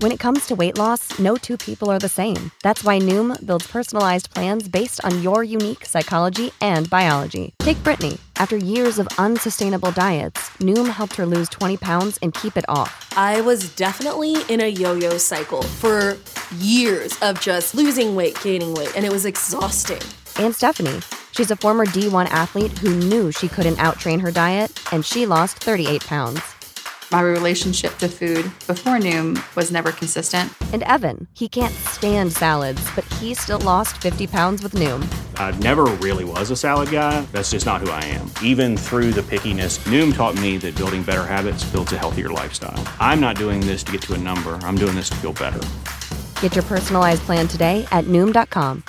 When it comes to weight loss, no two people are the same. That's why Noom builds personalized plans based on your unique psychology and biology. Take Brittany. After years of unsustainable diets, Noom helped her lose 20 pounds and keep it off. I was definitely in a yo yo cycle for years of just losing weight, gaining weight, and it was exhausting. And Stephanie. She's a former D1 athlete who knew she couldn't outtrain her diet, and she lost 38 pounds. My relationship to food before Noom was never consistent. And Evan, he can't stand salads, but he still lost 50 pounds with Noom. I never really was a salad guy. That's just not who I am. Even through the pickiness, Noom taught me that building better habits builds a healthier lifestyle. I'm not doing this to get to a number, I'm doing this to feel better. Get your personalized plan today at Noom.com.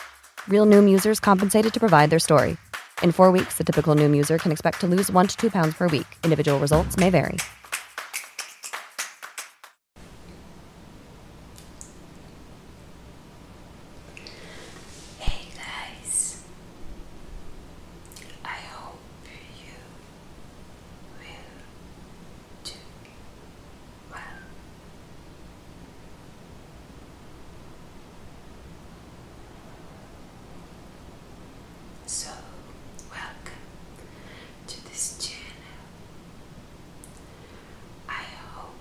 Real Noom users compensated to provide their story. In four weeks, the typical Noom user can expect to lose one to two pounds per week. Individual results may vary. Hey guys, I hope you will do well so, welcome to this channel. I hope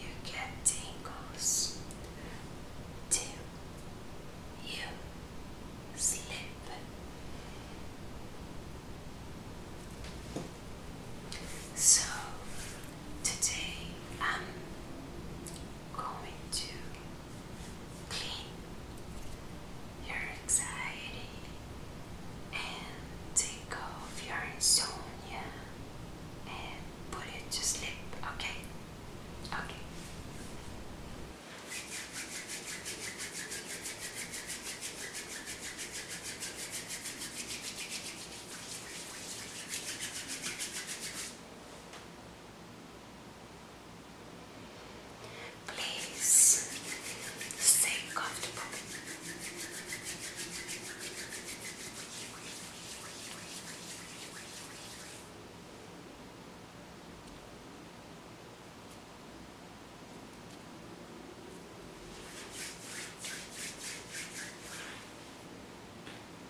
you get tingles till you sleep. So, Today I'm going to clean your anxiety and take off your insomnia and put it to sleep, okay? Okay. Please stay comfortable.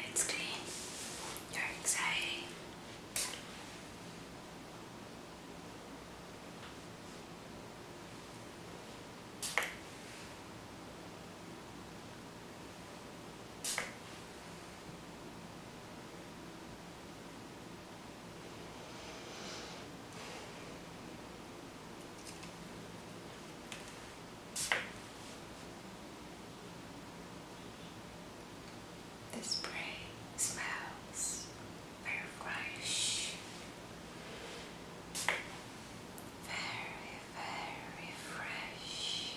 Let's clean your anxiety. The spray smells very fresh, very, very fresh.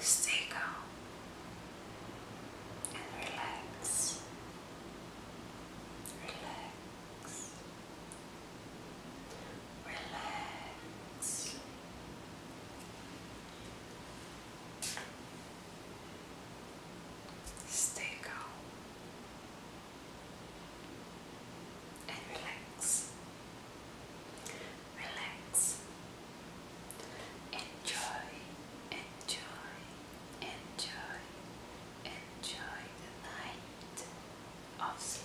Stay calm and relax. Relax. Relax. Stay calm and relax relax. Enjoy, enjoy, enjoy, enjoy the night of sleep.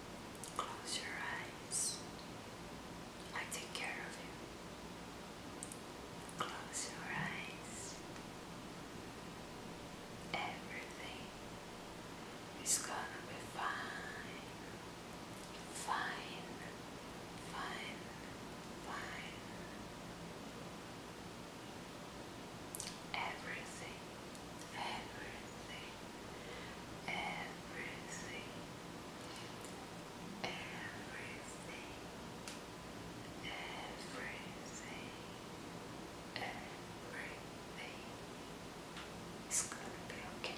Close your eyes. I take care of you. Close your eyes. Everything is gonna be fine. Fine, fine, fine. Everything, everything, everything, everything, everything, everything is gonna be okay.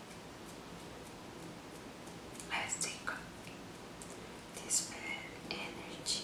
as they dispel energy.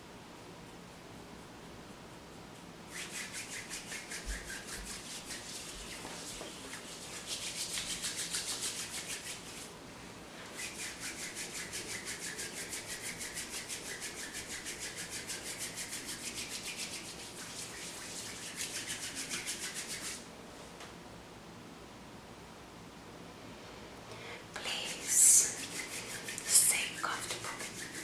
Please stay comfortable.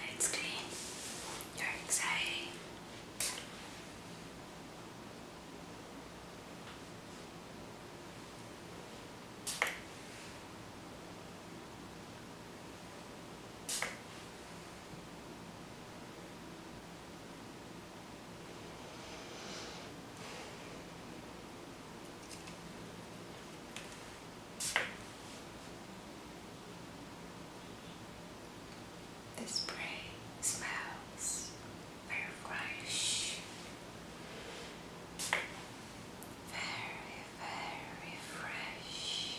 Let's clean your anxiety. The spray smells very fresh, very, very fresh.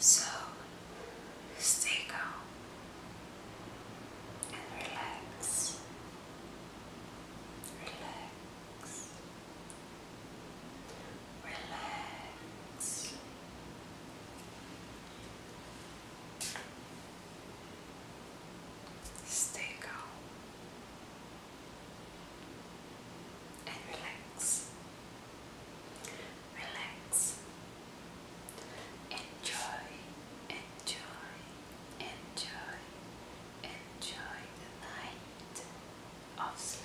So stay calm and relax. Relax relax. Stay calm and relax. Relax. Enjoy, enjoy, enjoy, enjoy the night of sleep.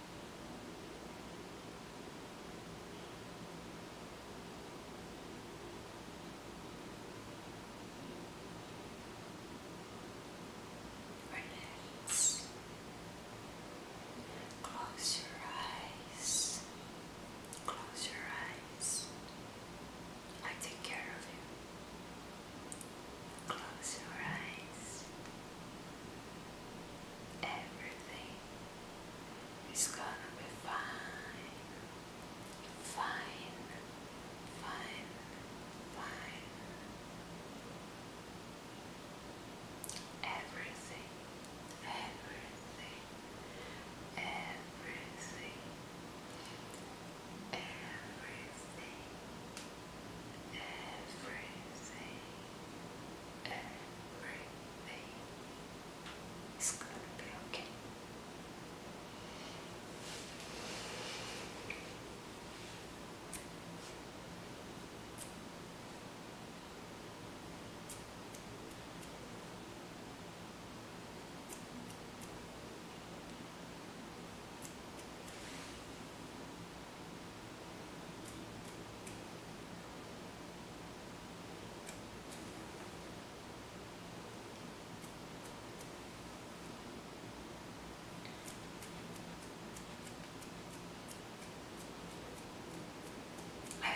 Relax. Close your eyes. Close your eyes. I take care of you. Close your eyes. Everything is gonna be fine, fine, fine, fine. Everything, everything, everything, everything everything, everything is gonna be okay.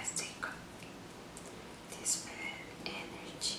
As they cook, they spend energy.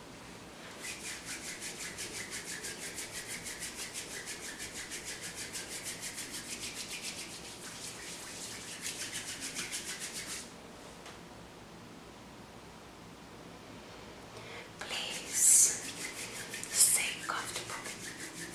Please stay comfortable. Relax.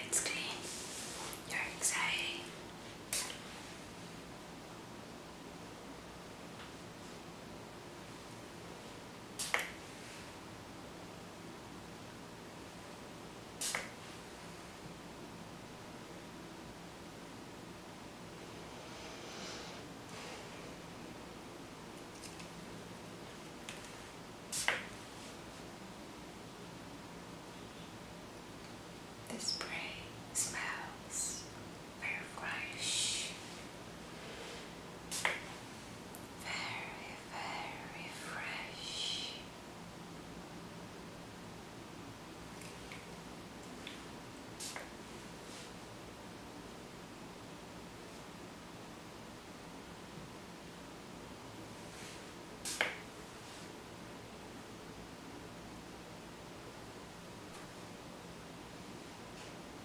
Let's clean your anxiety. The spray smells very fresh very, very fresh.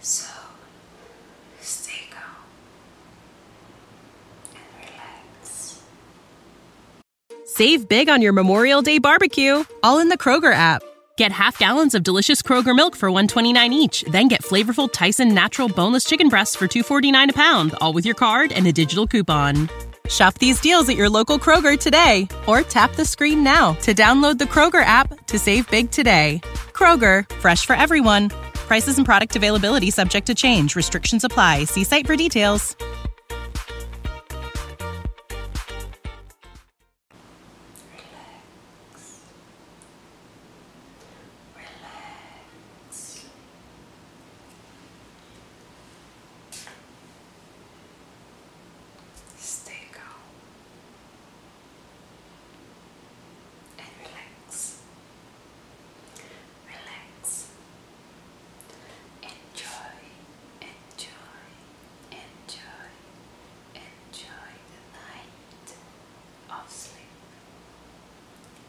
So stay calm and Save big on your Memorial Day barbecue, all in the Kroger app. Get half gallons of delicious Kroger milk for 129 each, then get flavorful Tyson natural boneless chicken breasts for 249 a pound, all with your card and a digital coupon. Shop these deals at your local Kroger today or tap the screen now to download the Kroger app to save big today. Kroger, fresh for everyone. Prices and product availability subject to change. Restrictions apply. See site for details. Stay calm and relax. Relax. Enjoy, enjoy, enjoy, enjoy the night of sleep. Relax.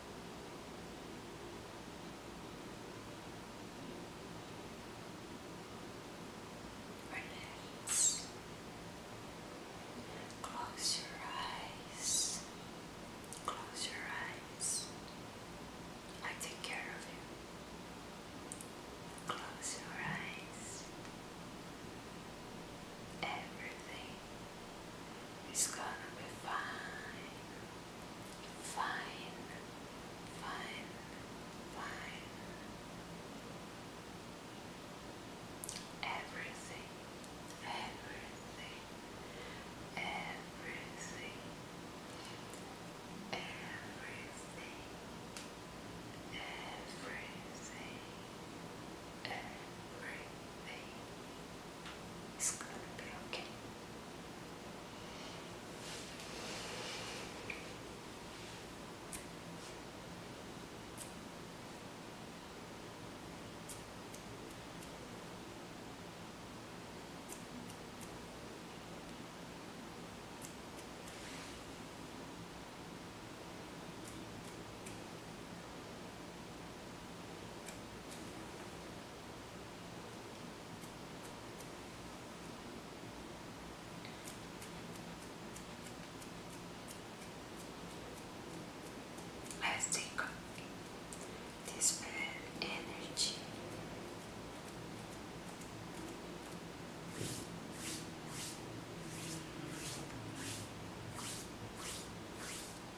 Close your eyes. Close your eyes. I take care of you. Close your eyes. Everything is gonna be fine fine, fine, fine. Everything, everything, everything, everything, everything, everything. It's gonna be okay. Let's take this bad energy.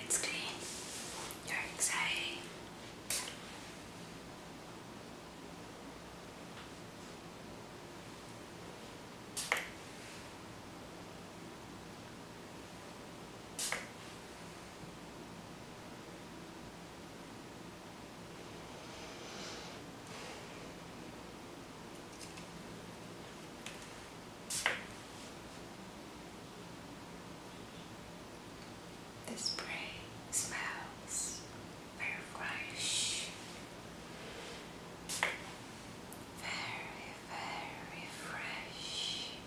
Let's clean your anxiety. The spray smells very fresh, very, very fresh.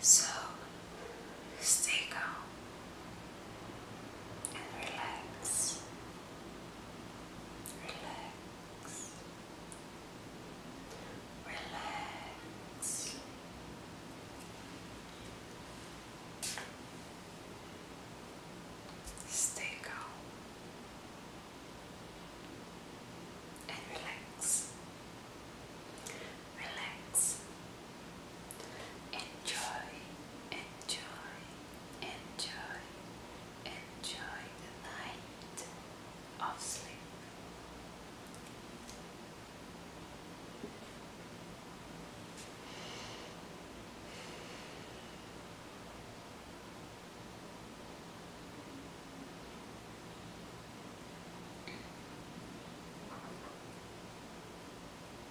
So stay calm and relax. Relax. Relax. Stay calm and relax relax. Enjoy, enjoy, enjoy, enjoy the night of sleep.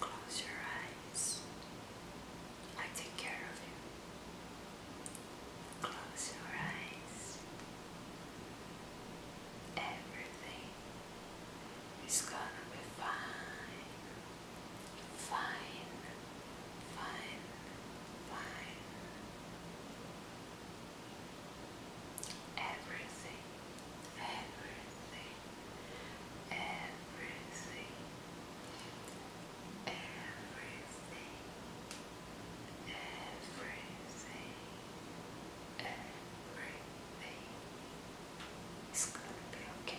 Close your eyes. I take care of you. Close your eyes. Everything is gonna be fine. Fine, fine, fine. Everything, everything everything, everything, everything, everything is gonna be okay.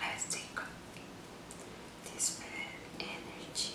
Let's take this bad energy.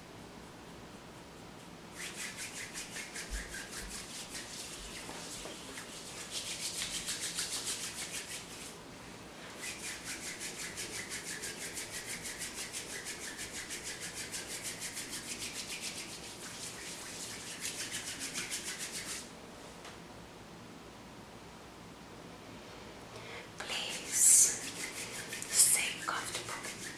Please stay comfortable.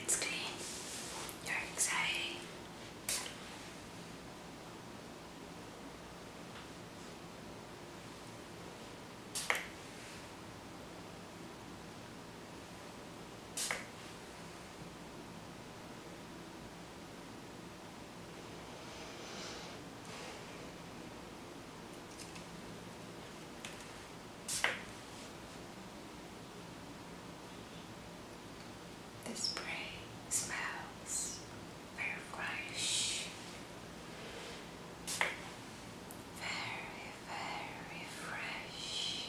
Let's clean your anxiety. This spray smells very fresh, very, very fresh.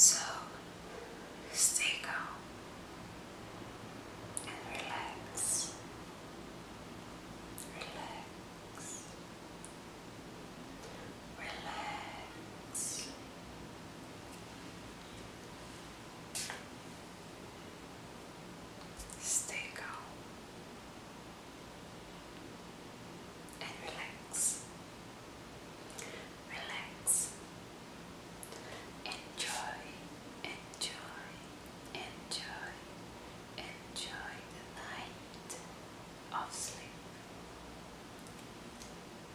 So stay calm and relax, relax, Relax. Stay calm and relax. Relax. Enjoy, enjoy, enjoy, enjoy the night of sleep.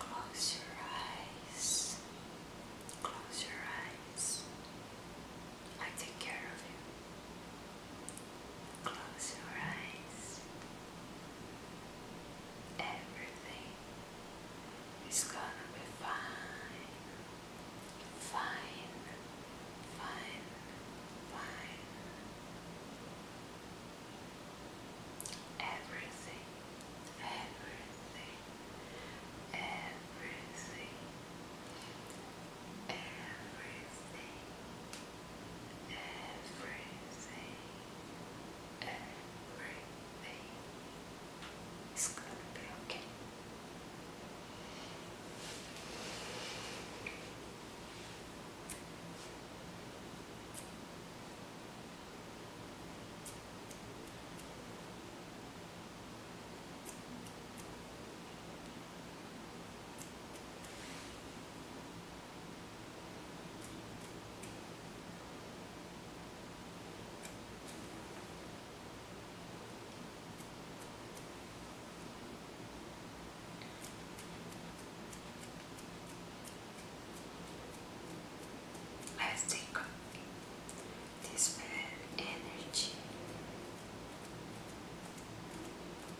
Close your eyes. Close your eyes. I take care of you. Close your eyes. Everything is gonna be fine, fine, fine, fine. Everything, everything, everything, everything Everything, everything is going to be okay. Let's take this bad energy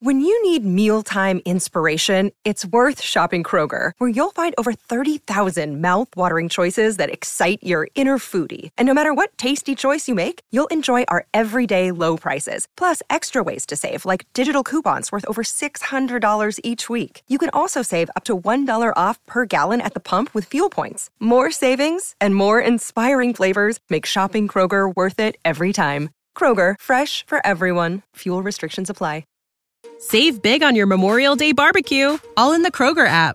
When you need mealtime inspiration, it's worth shopping Kroger, where you'll find over 30,000 thousand mouth-watering choices that excite your inner foodie. And no matter what tasty choice you make, you'll enjoy our everyday low prices, plus extra ways to save, like digital coupons worth over $600 each week. You can also save up to $1 off per gallon at the pump with fuel points. More savings and more inspiring flavors make shopping Kroger worth it every time. Kroger, fresh for everyone. Fuel restrictions apply. Save big on your Memorial Day barbecue, all in the Kroger app.